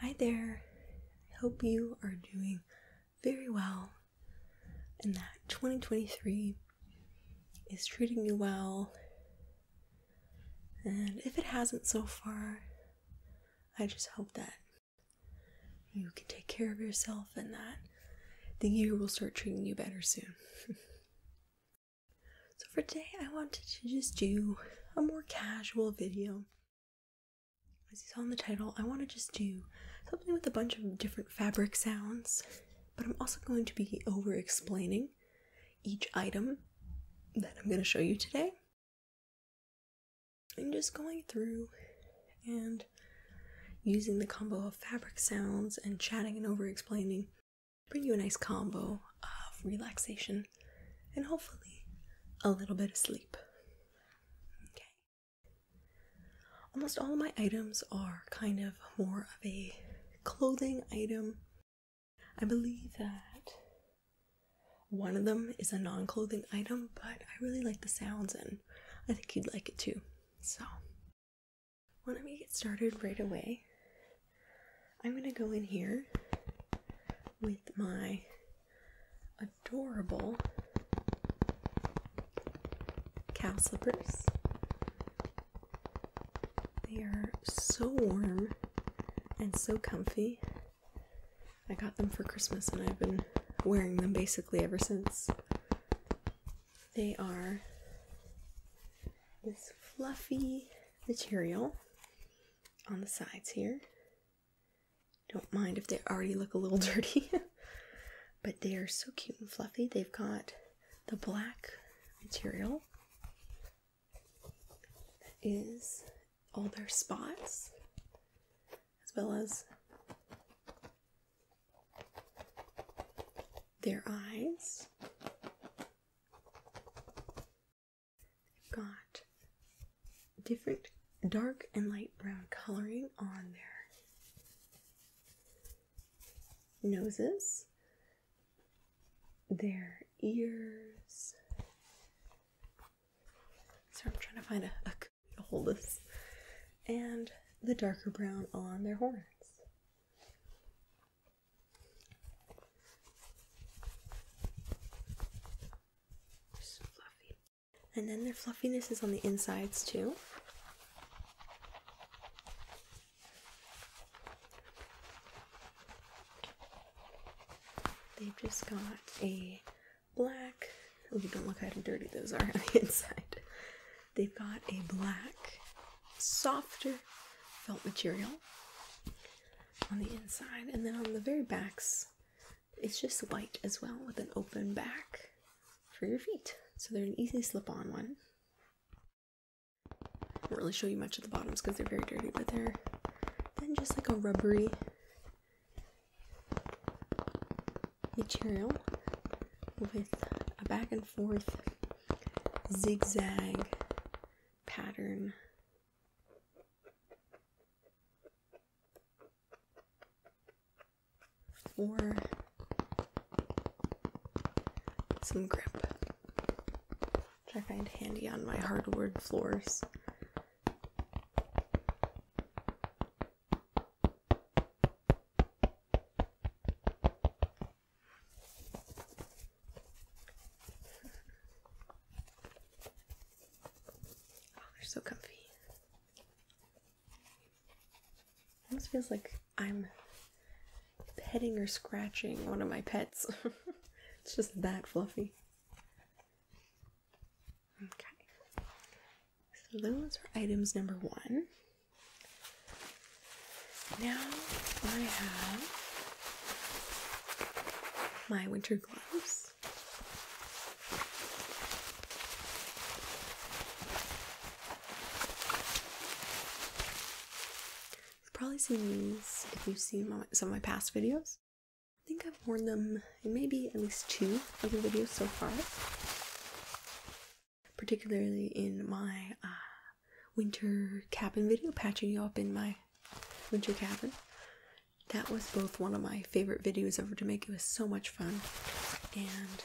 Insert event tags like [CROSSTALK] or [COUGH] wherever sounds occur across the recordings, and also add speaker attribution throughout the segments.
Speaker 1: Hi there. I hope you are doing very well and that 2023 is treating you well. And if it hasn't so far, I just hope that you can take care of yourself and that the year will start treating you better soon. [LAUGHS] So for today, I wanted to just do a more casual video. As you saw in the title, I want to just do something with a bunch of different fabric sounds, but I'm also going to be over explaining each item that I'm going to show you today. I'm just going through and using the combo of fabric sounds and chatting and over explaining bring you a nice combo of relaxation and hopefully a little bit of sleep. Okay. Almost all of my items are kind of more of a clothing item. I believe that one of them is a non clothing item, but I really like the sounds and I think you'd like it too. So, why don't we get started right away? I'm gonna go in here with my adorable cow slippers. They are so warm and so comfy. I got them for Christmas and I've been wearing them basically ever since. They are this fluffy material on the sides here. Don't mind if they already look a little [LAUGHS] dirty, but they are so cute and fluffy. They've got the black material that is all their spots, as well as their eyes They've got different dark and light brown coloring on their noses, their ears. Sorry, I'm trying to find a, a to hold this. And the darker brown on their horns. And then their fluffiness is on the insides too. They've just got a black. Oh, don't look how dirty those are on the [LAUGHS] inside. They've got a black softer felt material on the inside, and then on the very backs, it's just white as well with an open back for your feet. So they're an easy slip on one. I won't really show you much of the bottoms because they're very dirty, but they're then just like a rubbery material with a back and forth zigzag pattern. For some grip, which I find handy on my hardwood floors. Oh, they're so comfy. Almost feels like I'm petting or scratching one of my pets. [LAUGHS] it's just that fluffy. Okay. So those are items number one. Now I have my winter gloves. You've probably seen these if you've seen some of my past videos. I think I've worn them maybe at least two other videos so far, particularly in my uh, winter cabin video patching you up in my winter cabin. That was both one of my favorite videos ever to make. It was so much fun, and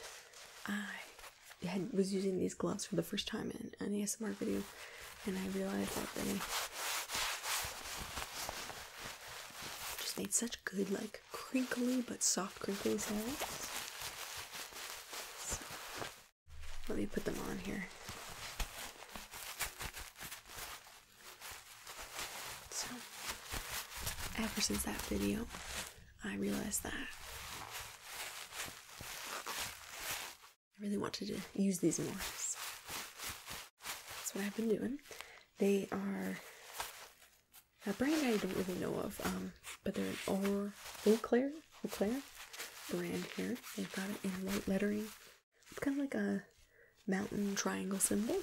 Speaker 1: I was using these gloves for the first time in an ASMR video, and I realized that they just made such good, like crinkly but soft crinkly sounds. Let me put them on here. So, ever since that video, I realized that I really wanted to use these more. that's what I've been doing. They are a brand I don't really know of, um, but they're an Eau, Eau Claire Eau Claire brand here. They've got it in white lettering. It's kind of like a mountain triangle symbol.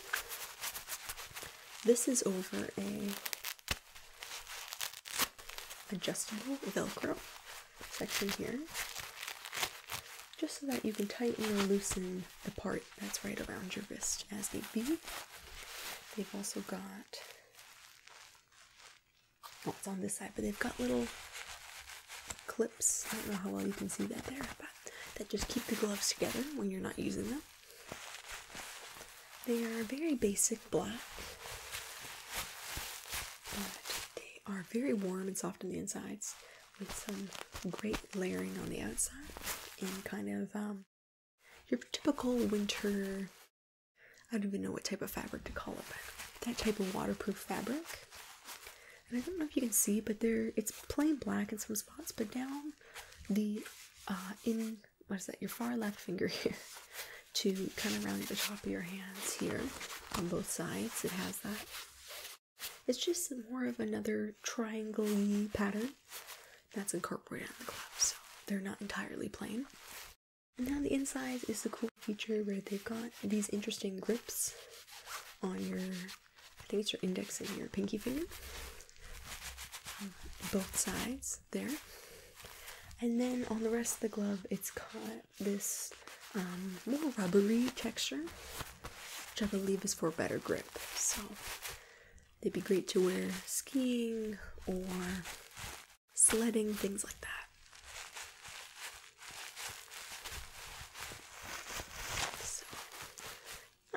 Speaker 1: This is over a adjustable velcro section here just so that you can tighten or loosen the part that's right around your wrist as they be. They've also got what's on this side, but they've got little clips. I don't know how well you can see that there, but that just keep the gloves together when you're not using them. They are very basic black, but they are very warm and soft on the insides with some great layering on the outside and kind of um, your typical winter I don't even know what type of fabric to call it, but that type of waterproof fabric. And I don't know if you can see, but there it's plain black in some spots, but down the uh, in what is that? Your far left finger here [LAUGHS] to kind of round the top of your hands here on both sides. It has that. It's just more of another triangley pattern that's incorporated in the gloves, so they're not entirely plain. And now the inside is the cool feature where they've got these interesting grips on your, I think it's your index and your pinky finger. Both sides there. And then on the rest of the glove, it's got this more um, rubbery texture, which I believe is for better grip. So they'd be great to wear skiing or sledding, things like that.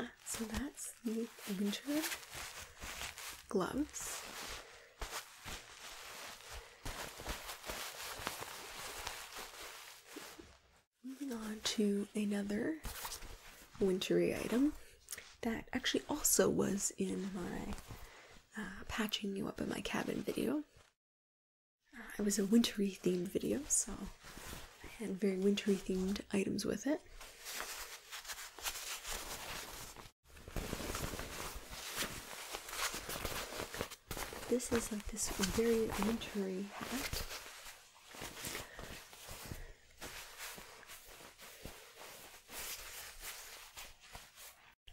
Speaker 1: Ah, so, that's the winter gloves. Moving on to another wintry item that actually also was in my uh, patching you up in my cabin video. Uh, it was a wintry themed video, so I had very wintry themed items with it. This is like this very wintry hat.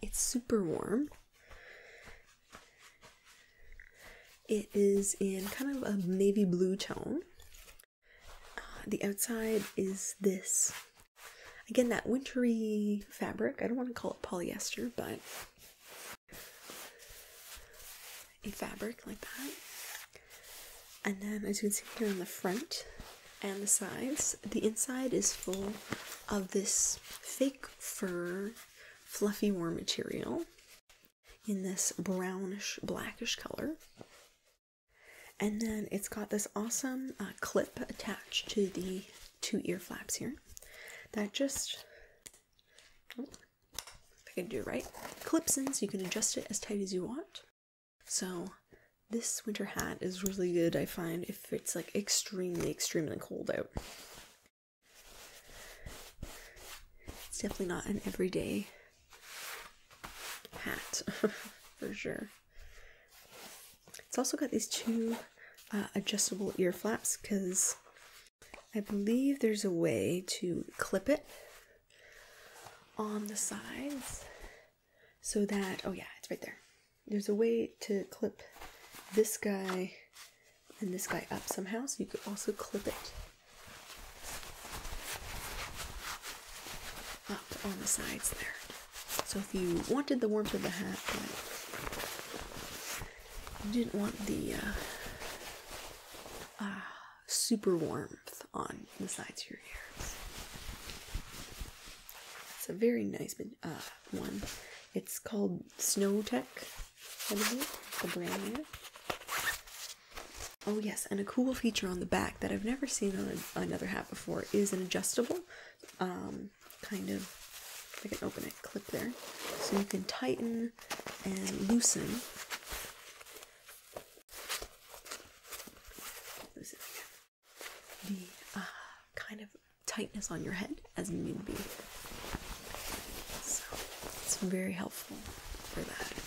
Speaker 1: It's super warm. It is in kind of a navy blue tone. Uh, the outside is this again, that wintry fabric. I don't want to call it polyester, but a fabric like that. And then, as you can see here on the front and the sides, the inside is full of this fake fur fluffy warm material in this brownish blackish color. And then it's got this awesome uh, clip attached to the two ear flaps here that just, oh, I can do right, clips in so you can adjust it as tight as you want. So this winter hat is really good, I find, if if it's like extremely, extremely cold out. It's definitely not an everyday hat [LAUGHS] for sure. It's also got these two uh, adjustable ear flaps because I believe there's a way to clip it on the sides so that, oh yeah, it's right there there's a way to clip this guy and this guy up somehow, so you could also clip it up on the sides there. So if you wanted the warmth of the hat, but you didn't want the uh, uh, super warmth on the sides of your ears. It's a very nice uh, one. It's called Snowtech, I believe, the brand Oh yes, and a cool feature on the back that I've never seen on another hat before is an adjustable, um, kind of. I can open it, clip there, so you can tighten and loosen the uh, kind of tightness on your head as need be. So it's very helpful for that.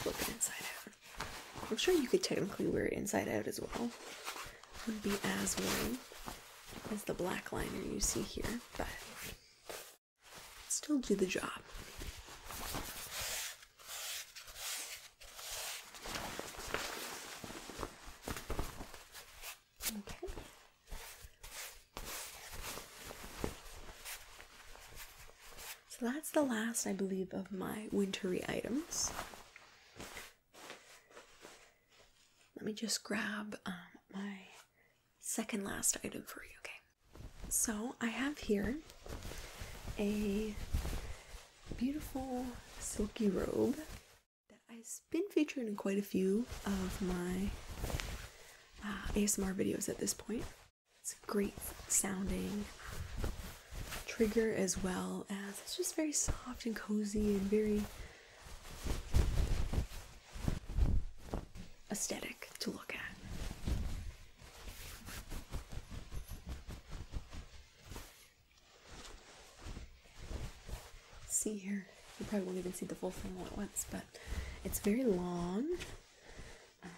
Speaker 1: Flip it inside out. I'm sure you could technically wear it inside out as well would be as warm as the black liner you see here, but still do the job. Okay. So that's the last, I believe, of my wintery items. Let me just grab um, my second last item for you, okay? So I have here a beautiful silky robe that has been featured in quite a few of my uh, ASMR videos at this point. It's a great sounding trigger as well as it's just very soft and cozy and very aesthetic to look at. See here, you probably won't even see the full thing all at once, but it's very long, um,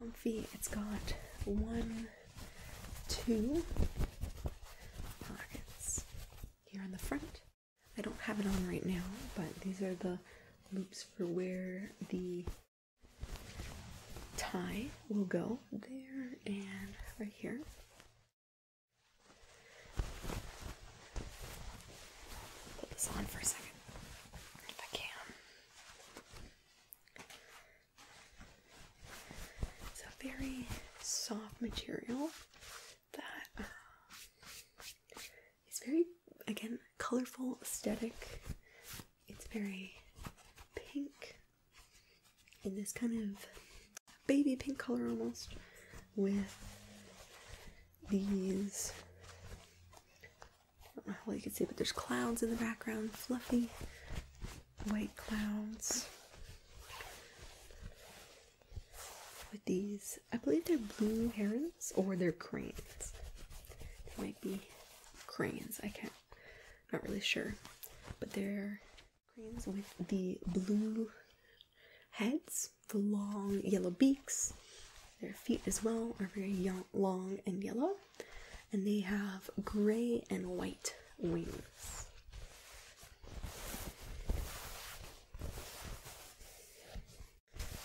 Speaker 1: comfy. It's got one two pockets here on the front. I don't have it on right now, but these are the loops for where the tie will go there and right here. Put this on for a second if I can. It's a very soft material that uh, is very, again, colorful aesthetic. It's very pink in this kind of baby pink color almost with these I don't know how you can see, but there's clouds in the background, fluffy white clouds with these, I believe they're blue herons or they're cranes. They might be cranes, I can't, not really sure. But they're cranes with the blue heads, the long yellow beaks. Their feet as well are very long and yellow. And they have gray and white wings.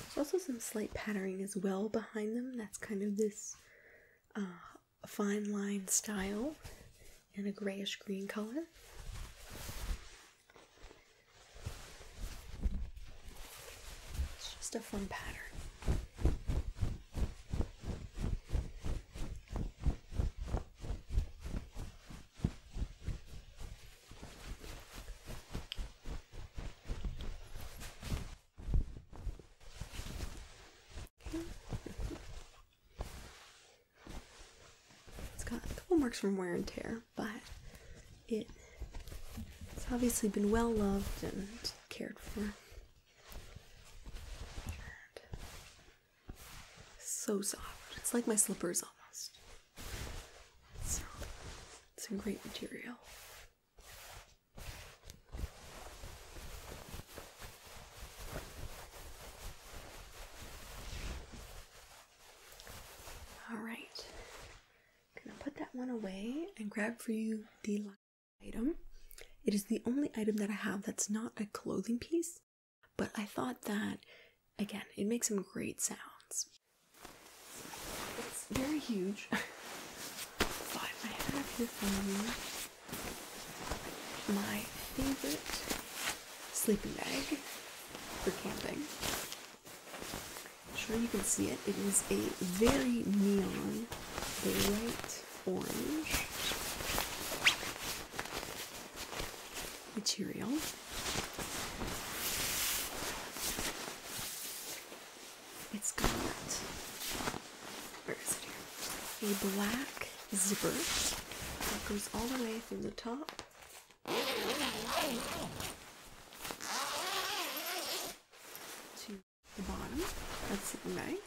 Speaker 1: There's also some slight patterning as well behind them. That's kind of this uh, fine line style and a grayish green color. It's just a fun pattern. It's got a couple marks from wear and tear, but it it's obviously been well loved and cared for. So soft. It's like my slippers almost. It's, it's a great material. All right. I'm gonna put that one away and grab for you the item. It is the only item that I have that's not a clothing piece, but I thought that, again, it makes some great sounds. It's very huge. but I have here my favorite sleeping bag for camping. sure you can see it. It is a very neon, bright orange material. It's got A black zipper that goes all the way from the top. To the bottom. That's the back.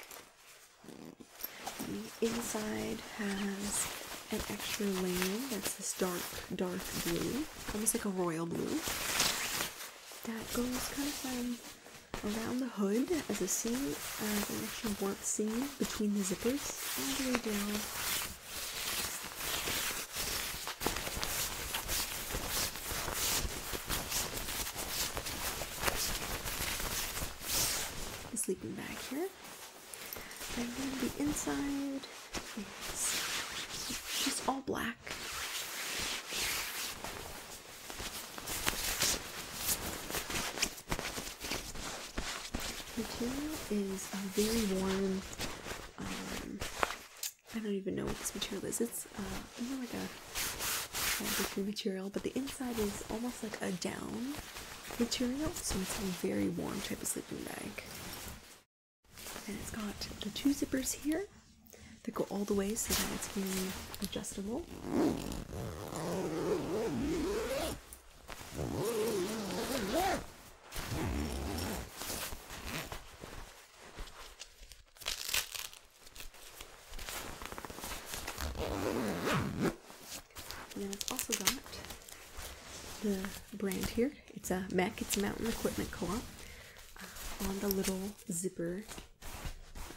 Speaker 1: The inside has an extra layer that's this dark, dark blue, almost like a royal blue, that goes kind of um, around the hood as a seam, as an extra warp seam between the zippers, all the sleeping bag here. And then the inside is just all black. The material is a very warm, um, I don't even know what this material is. It's uh, more like a bamboo material, but the inside is almost like a down material, so it's a very warm type of sleeping bag. And it's got the two zippers here that go all the way so that it's very adjustable. And then i also got the brand here. It's a Mac. It's Mountain Equipment Co-op. Uh, on the little zipper,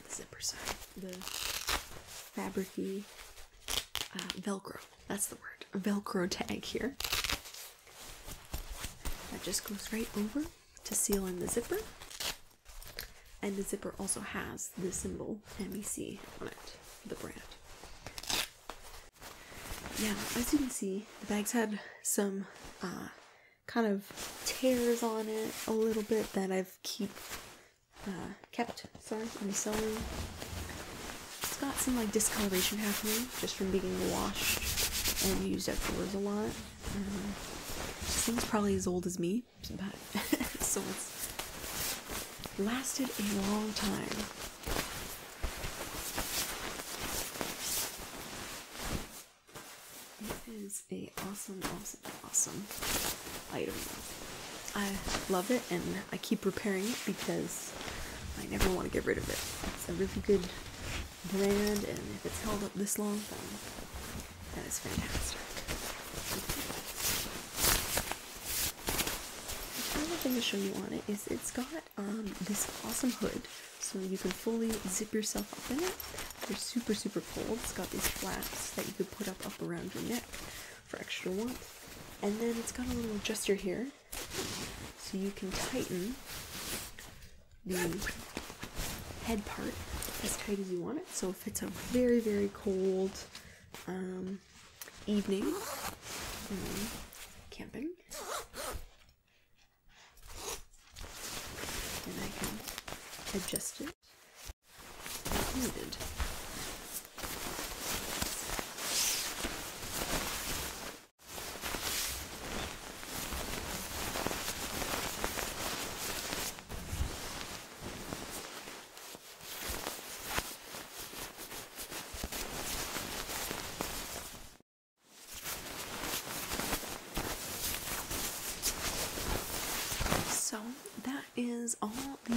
Speaker 1: the zipper side, the fabricy uh, Velcro. That's the word. Velcro tag here. That just goes right over to seal in the zipper. And the zipper also has the symbol MEC on it, the brand. Yeah, as you can see, the bags had some uh, kind of tears on it a little bit that I've keep uh, kept. Sorry, I'm sewing. It's got some like discoloration happening just from being washed and used outdoors a lot. Um, this thing's probably as old as me, some bad swords. Lasted a long time. It is a awesome, awesome, awesome item. I love it and I keep repairing it because I never want to get rid of it. It's a really good brand and if it's held up this long, then that is fantastic. The other thing to show you on it is it's got um, this awesome hood, so you can fully zip yourself up in it. It's super, super cold. It's got these flaps that you can put up up around your neck for extra warmth. And then it's got a little adjuster here, so you can tighten the head part as tight as you want it. So it's a very, very cold um, evening um, camping. And I can adjust it as needed. So that is all the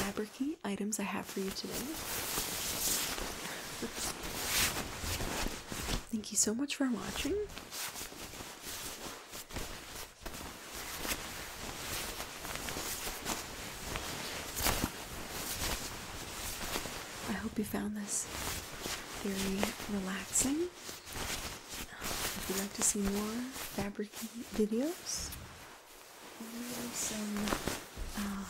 Speaker 1: fabricy items I have for you today. [LAUGHS] Thank you so much for watching. I hope you found this very relaxing. If you'd like to see more fabric videos, or some uh,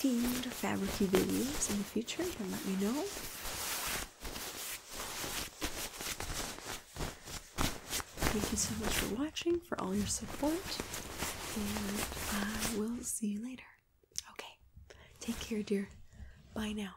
Speaker 1: themed fabricy videos in the future, then let me know. Thank you so much for watching, for all your support, and I will see you later. Okay, take care, dear. Bye now.